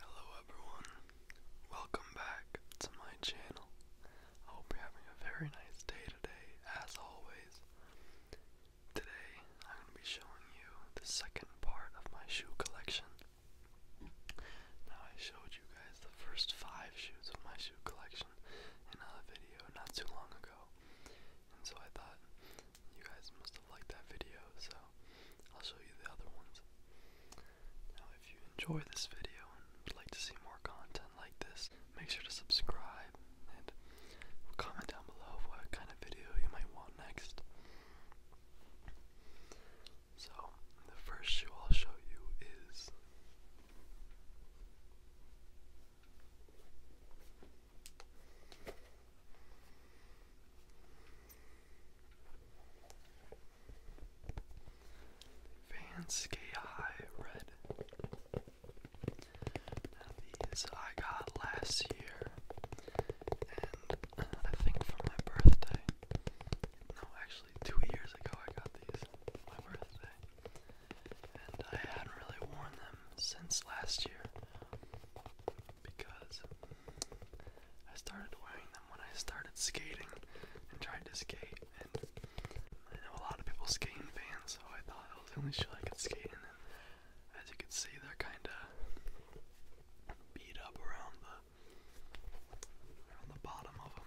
Hello everyone, welcome back to my channel. I hope you're having a very nice day today, as always. Today, I'm going to be showing you the second part of my shoe collection. Now, I showed you guys the first five shoes of my shoe collection in a video not too long ago, and so I thought you guys must have liked that video, so I'll show you the other ones. Now, if you enjoy this video and would like to see more content like this, make sure to subscribe and comment down below what kind of video you might want next. So, the first shoe I'll show you is Van Sky High Red. these I got last year, and uh, I think for my birthday. No, actually, two years ago I got these for my birthday, and I hadn't really worn them since last year because I started wearing them when I started skating and tried to skate. And I know a lot of people skate in vans, so I thought that was the only shoe I could skate in. And as you can see, they're kind of beat up around the around the bottom of them.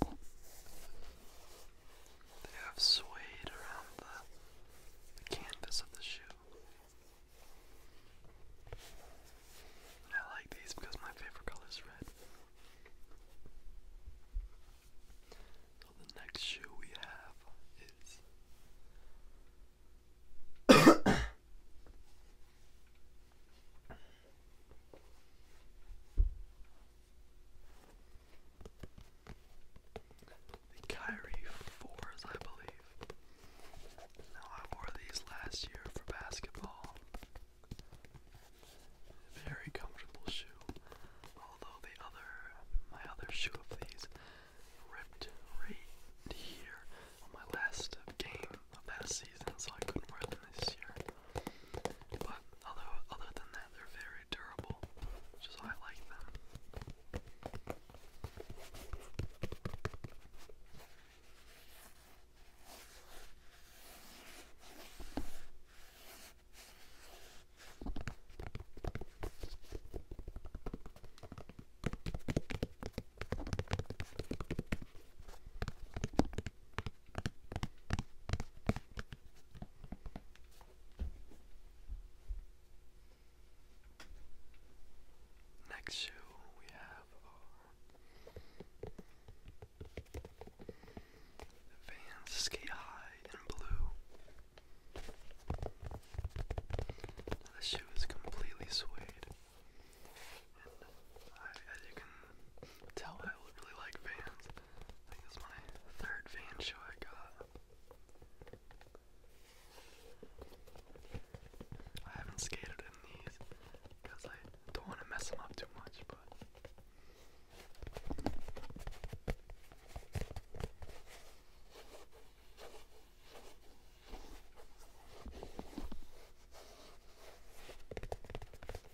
They have swayed around the, the canvas of the shoe. I like these because my favorite color is red. So the next shoe we have is. The Kyrie 4s, I believe. Now, I wore these last year for basketball. Very comfortable shoe. Although the other, my other shoe of these ripped right here on my last game of that season, so I couldn't wear them this year. But although other than that, they're very durable, which is why I like them. Next shoe we have are Vans Skate High in blue. The shoe is completely suede, and as you can tell, I really like Vans. I think it's my third van show I got. I haven't skated in these because I don't want to mess them up too much, but.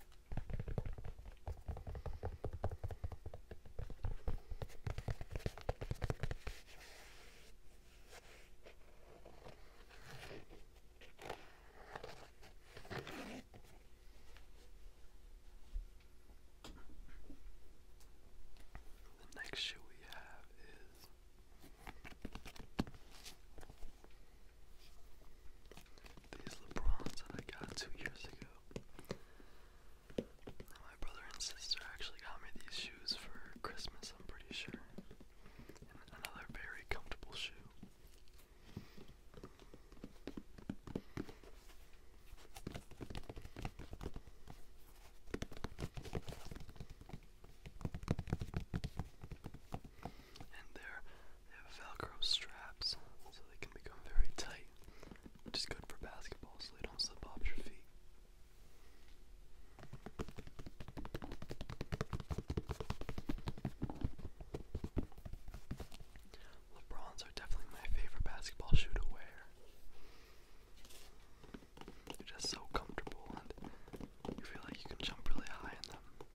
The next shoe we have is these LeBrons that I got two years ago. My brother and sister actually got me these shoes for Christmas, I'm pretty sure. another very comfortable shoe and they have Velcro straps, so they can become very tight, which is good for basketball, so they don't slip off your feet. LeBrons are definitely my favorite basketball shoe to wear. They're just so comfortable and you feel like you can jump really high in them.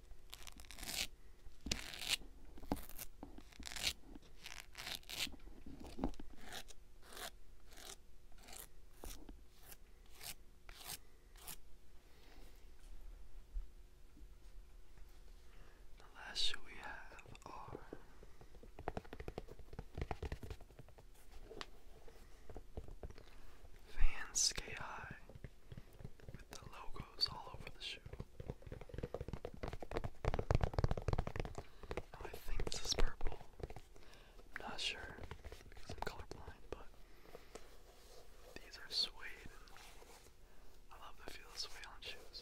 The last two we have are oh. Vans High with the logos all over the shoe. Oh, I think this is purple. am not sure because I'm colorblind, but these are suede. I love the feel of suede on shoes.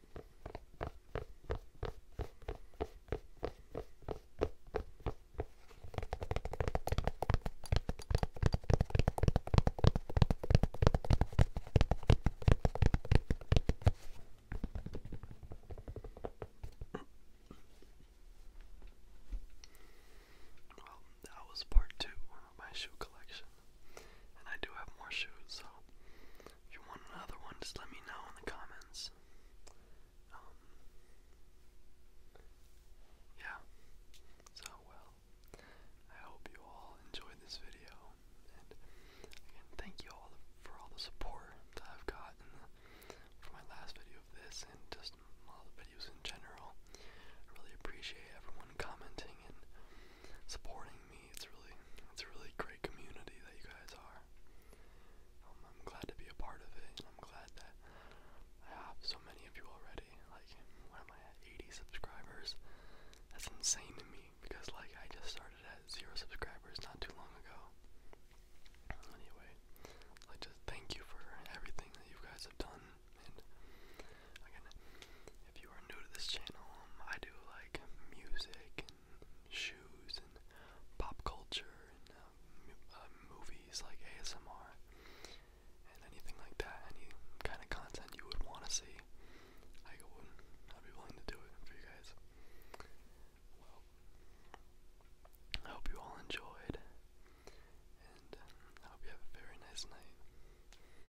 Well, that was part two of my shoe collection. And I do have more shoes, so if you want another one, just let me know in the comments. Um, yeah. So, well, I hope you all enjoyed this video. And thank you all for all the support that I've gotten for my last video of this and just all the videos in general. really appreciate everyone commenting and supporting me. It's really, it's a really great community that you guys are. Um, I'm glad to be a part of it, I'm glad that I have so many of you already. Like, what am I 80 subscribers. That's insane to me because, like, I just started at zero subscribers not too long ago. Anyway, like, just thank you for everything that you guys have done, if you are new to this channel, um, I do like music and shoes and pop culture and uh, uh, movies like ASMR and anything like that. Any kind of content you would want to see, I would. I'd be willing to do it for you guys. I hope you all enjoyed, and um, I hope you have a very nice night.